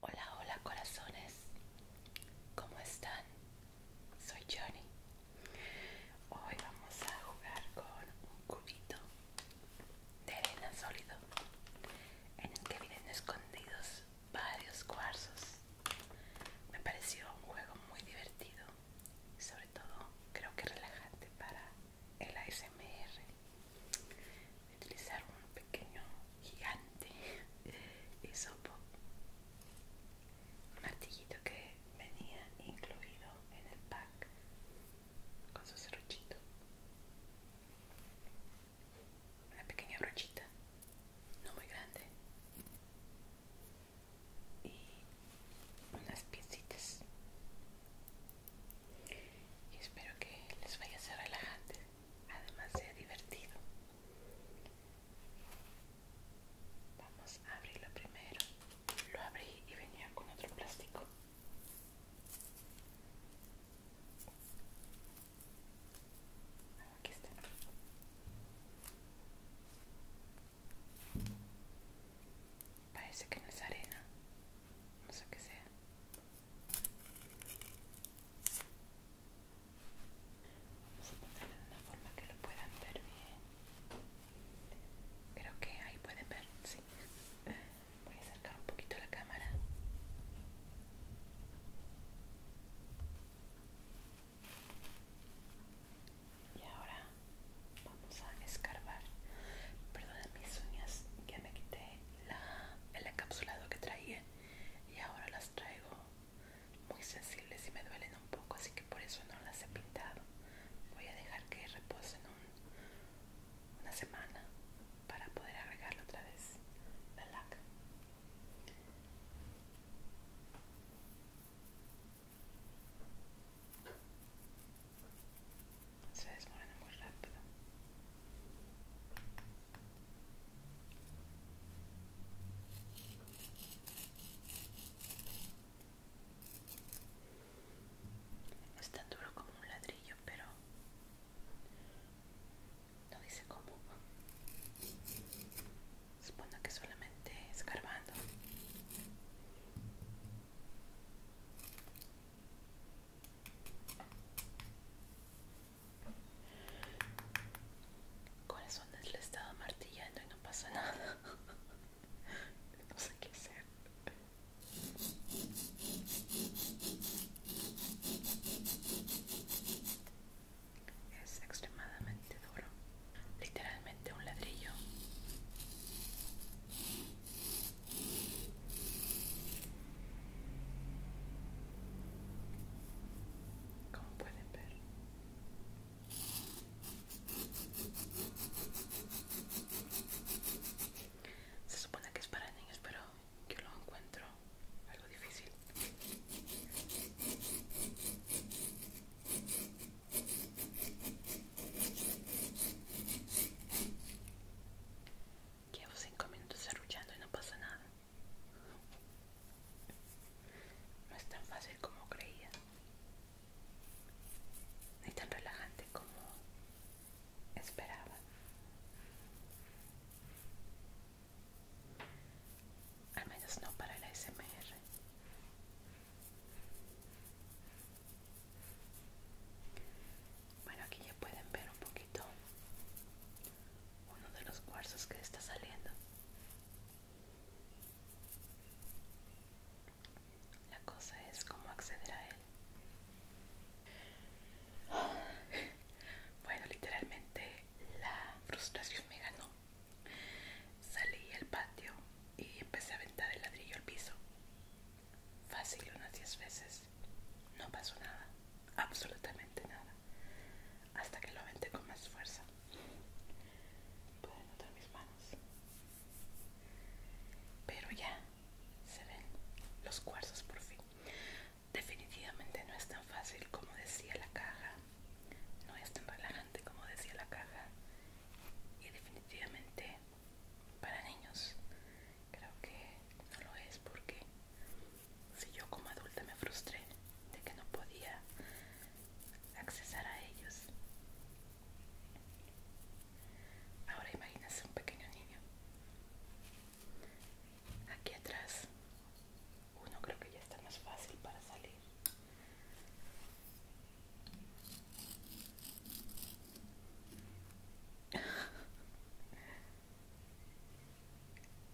Hola, hola corazones, ¿cómo están? Soy Johnny. Hoy vamos a jugar con un cubito de arena sólido en el que vienen escondidos varios cuarzos. Me pareció un juego muy divertido, todo creo que relajante para el ASMR utilizar un pequeño gigante hisopo un martillito que venía incluido en el pack con su cerrochito una pequeña brochita no muy grande y unas piecitas y espero que les vaya a ser relajante además sea divertido vamos a abrirlo primero lo abrí y venía con otro plástico Aquí está. Parece que no es arena. No sé qué sea. Vamos a ponerlo de una forma que lo puedan ver bien. Creo que ahí pueden ver, sí. Voy a acercar un poquito la cámara y ahora vamos a escarbar perdón mis uñas ya me quité el encapsulado que traía y ahora las traigo muy sensibles y me duelen un poco así que por eso no las he pintado voy a dejar que reposen una semana para poder agregarle otra vez la laca se desmorona muy rápido. Es tan duro como un ladrillo, pero no dice cómo. Supongo que solamente escarbando Corazones le estaba martillando y no pasa nada. no sé qué hacer. Es extremadamente duro literalmente un ladrillo como pueden ver se supone que es para niños pero yo lo encuentro algo difícil Llevo cinco minutos arrullando y no pasa nada. No es tan fácil como creía. Ni tan relajante como esperaba. Al menos no para la SMR. Bueno, aquí ya pueden ver un poquito uno de los cuarzos que está saliendo. La cosa es cómo acceder a él. Bueno, literalmente la frustración me ganó. Salí al patio y empecé a aventar el ladrillo al piso. Fácil unas diez veces. No pasó nada, absolutamente nada. Hasta que lo aventé con más fuerza. Pueden notar mis manos. Pero ya se ven los cuarzos por fin. Definitivamente no es tan fácil como decía la caja. No es tan relajante como decía la caja. Y definitivamente para niños creo que no lo es porque si yo como adulta me frustré de que no podía accesar a ellos ahora imagínense un pequeño niño aquí atrás uno creo que ya está más fácil para salir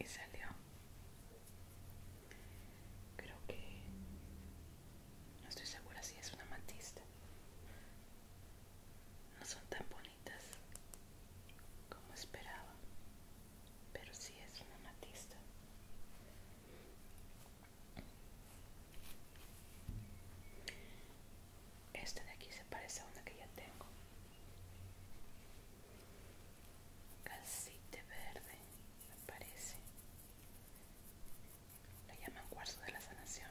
y salió creo que no estoy segura si es una matista no son tan bonitas como esperaba pero sí es una matista este de aquí se parece a una que ya tengo. Calcite verde, me parece. La llaman cuarzo de la sanación.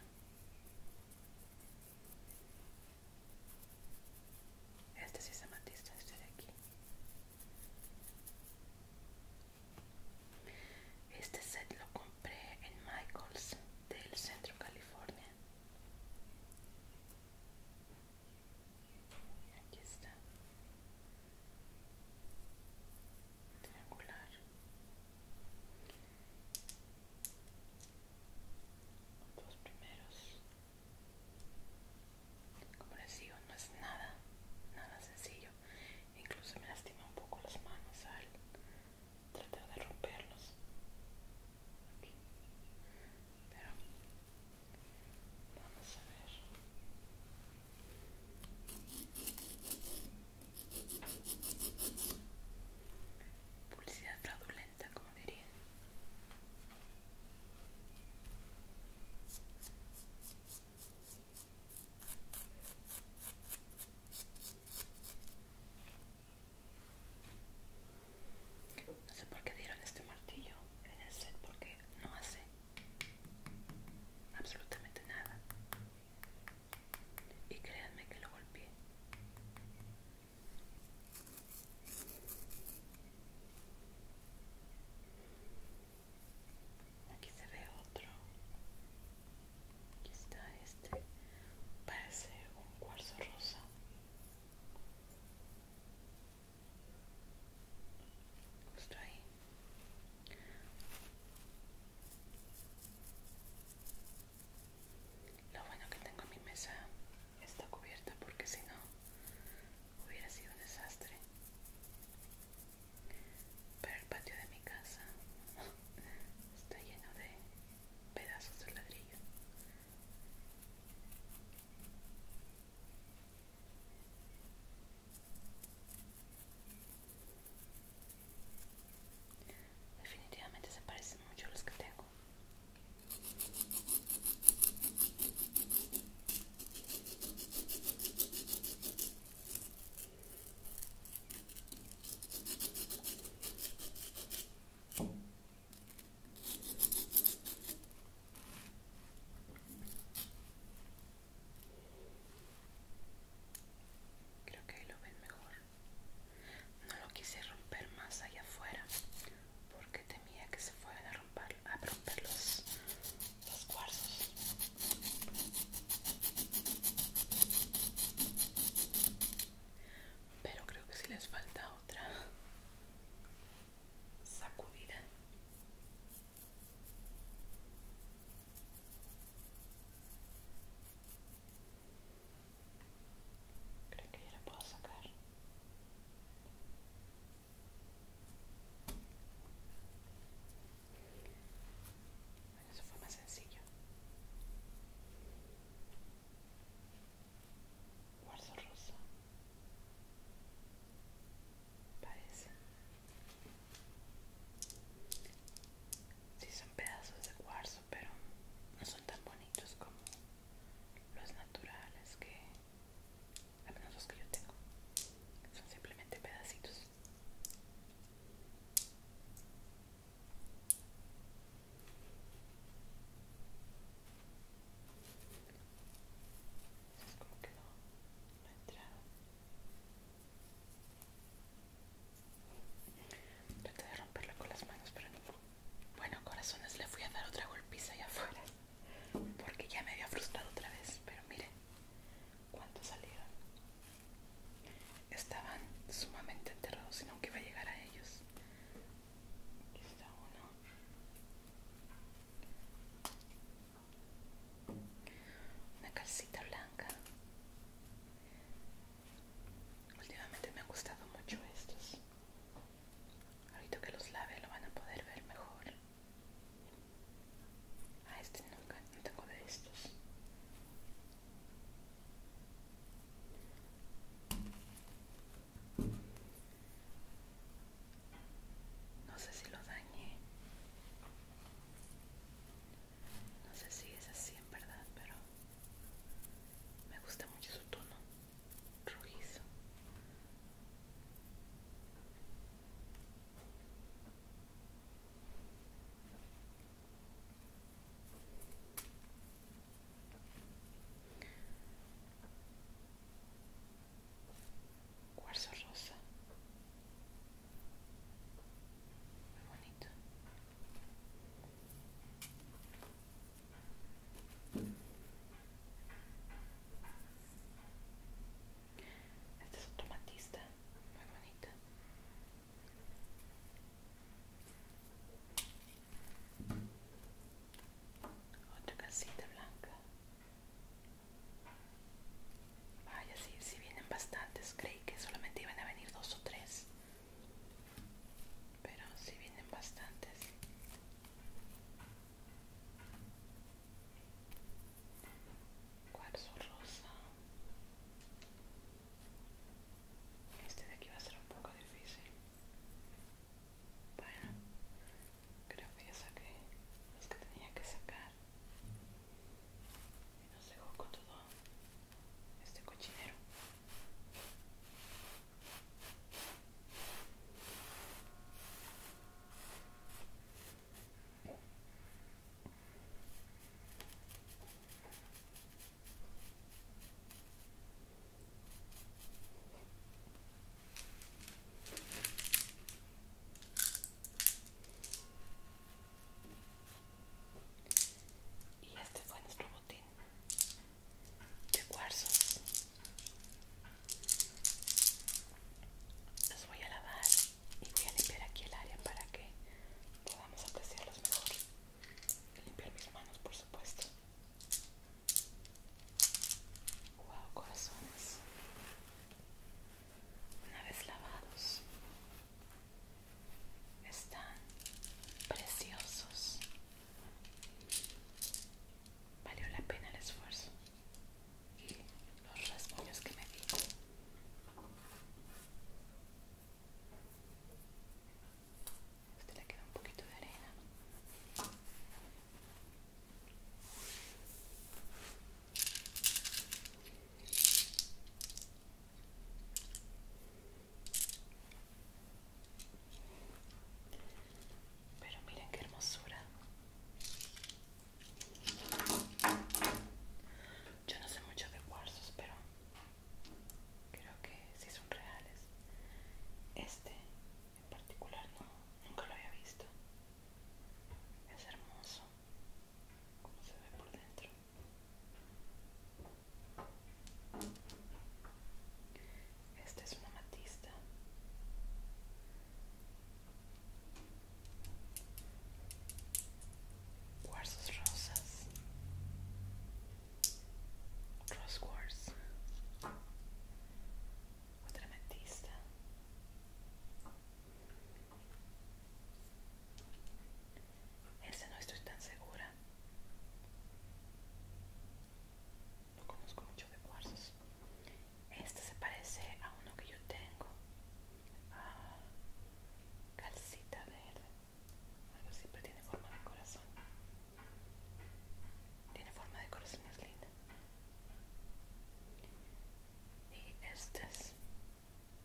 Este sí es amatista, este de aquí. Este set lo compré en Michaels del Centro California. Aquí está. Triangular. Los primeros. Como les digo, no es nada, nada sencillo. Incluso me lastima un poco las manos al tratar de romperlos. Pero vamos a ver. Publicidad fraudulenta, como diría. No sé por qué dieron este martillo en el set porque no hace absolutamente nada. Y créanme que lo golpeé aquí se ve otro aquí está este parece un cuarzo rosa justo ahí lo bueno que tengo mi mesa está cubierta porque si no hubiera sido un desastre pero el patio de mi casa está lleno de pedazos de ladrillo. Definitivamente se parecen mucho a los que tengo. Creo que ahí lo ven mejor. No lo quise romper más allá afuera porque temía que se fueran a romper, a romper los, los cuarzos. Pero creo que si sí les falta otra sacudida. Creo que ya la puedo sacar. Bueno, eso fue más sencillo. Cuarzo rosa. Parece. Sí, son pedazos de cuarzo, pero no son tan bonitos como los naturales que... Al menos los que yo tengo. Son simplemente pedacitos. Es como que no, ha entrado Traté de romperla con las manos, pero no. Bueno, corazones, le fui a dar otra golpiza allá afuera. Porque ya me había frustrado otra vez, pero mire Cuánto salieron estaban sumamente enterrados y nunca iba a llegar a ellos. Aquí está uno. Una calcita blanca. Últimamente me han gustado mucho estos. Ahorita que los lave lo van a poder ver mejor. Ah, este nunca, no tengo de estos. No sé si lo dañé. No sé si es así en verdad, pero me gusta mucho su tono rojizo cuarzo rosa muy bonito este es automatista muy bonito otra casita blanca. Vaya, si vienen bastantes. Creí que solamente iban a venir dos o tres. Pero si vienen bastantes. Cuarzo rosa. Este de aquí va a ser un poco difícil. Bueno, creo que ya saqué los que tenía que sacar. Y nos dejó con todo este cochinero. Y este fue nuestro botín de cuarzos. Los voy a lavar y voy a limpiar aquí el área para que podamos apreciarlos mejor. Limpiar mis manos, por supuesto. Wow, corazones. Una vez lavados, están preciosos. Valió la pena el esfuerzo y los rasguños que me di. Este le queda un poquito de arena. Pero miren qué hermosura. Yo no sé mucho de cuarzos, pero creo que sí son reales este en particular no nunca lo había visto es hermoso como se ve por dentro este es una amatista cuarzos rosas Crosswords Quartz Otra metista. este no estoy tan segura. No conozco mucho de cuarzos. Este se parece a uno que yo tengo. Ah, calcita verde siempre tiene forma de corazón. Tiene forma de corazón, es linda. Y estas,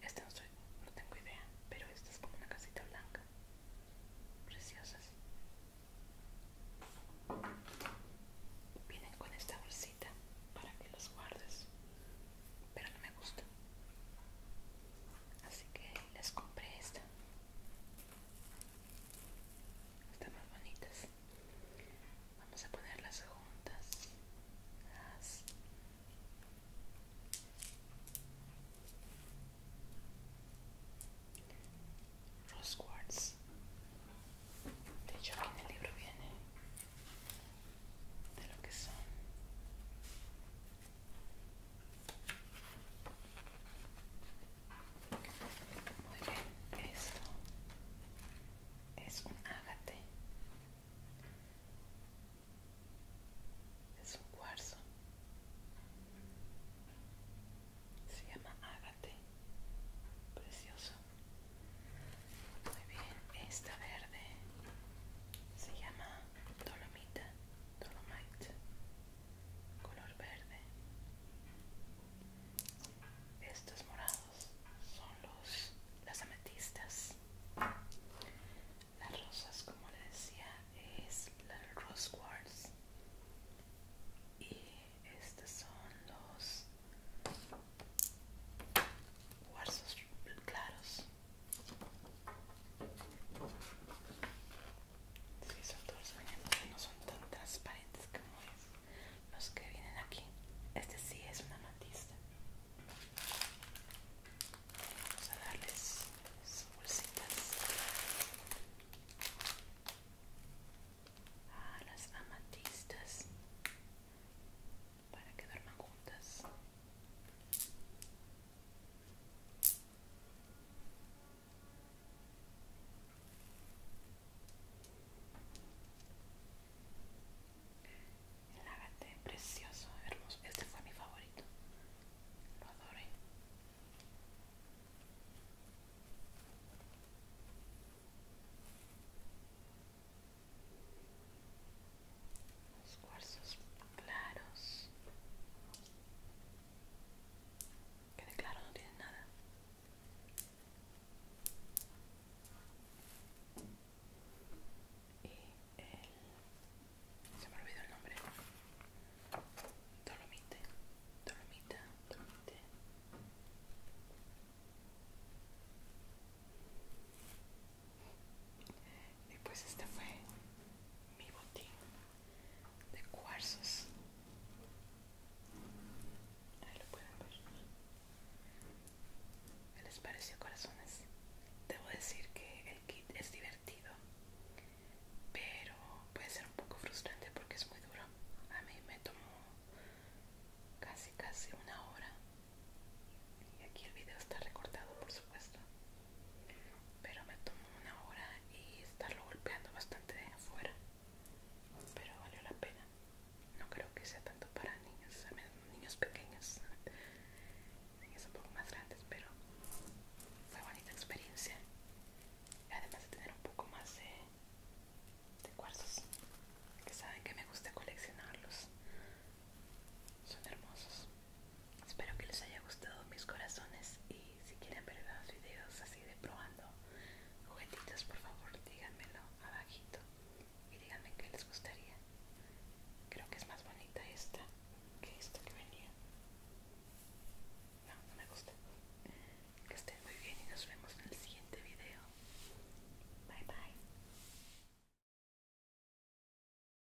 esta no, soy, no tengo idea, pero esta es como una casita blanca. Preciosas. Vienen con esta bolsita para que los guardes, pero no me gusta así que les compré esta están más bonitas vamos a ponerlas juntas los Rose Quartz de hecho aquí en el libro viene de lo que son muy bien, esto es un ágate, es un cuarzo, se llama ágate, precioso. Muy bien, esta verde se llama dolomita, dolomite color verde. Estos morados son los las ametistas. Las rosas, como le decía, es la rose quartz. Y estos son los cuarzos claros. Sí, son todos que no son tan transparentes como Los que vienen aquí. Este sí es un amatista Vamos a darles bolsitas. A las amatistas para que duerman juntas. El agate precioso, hermoso. Este fue mi favorito. Lo adoré. Los cuarzos claros. Quede claro, no tiene nada. Y el... se me olvidó el nombre. Dolomite, dolomita, dolomite. Y pues este fue mi botín de cuarzos ahí lo les pareció corazones? debo decir que el kit es divertido pero puede ser un poco frustrante porque es muy duro a mí me tomó casi casi una hora y aquí el video está recortado por supuesto pero me tomó una hora y estarlo golpeando bastante de afuera pero valió la pena no creo que sea tanto para niños niños pequeños niños un poco más grandes pero fue bonita experiencia además de tener un poco más de, de cuarzos que saben que me gusta coleccionarlos son hermosos Espero que les haya gustado mis corazones y si quieren ver más videos así de probando juguetitos, por favor díganmelo abajito y díganme qué les gustaría. Creo que es más bonita esta que esta que venía. No, no me gusta. Que estén muy bien y nos vemos en el siguiente video. Bye bye.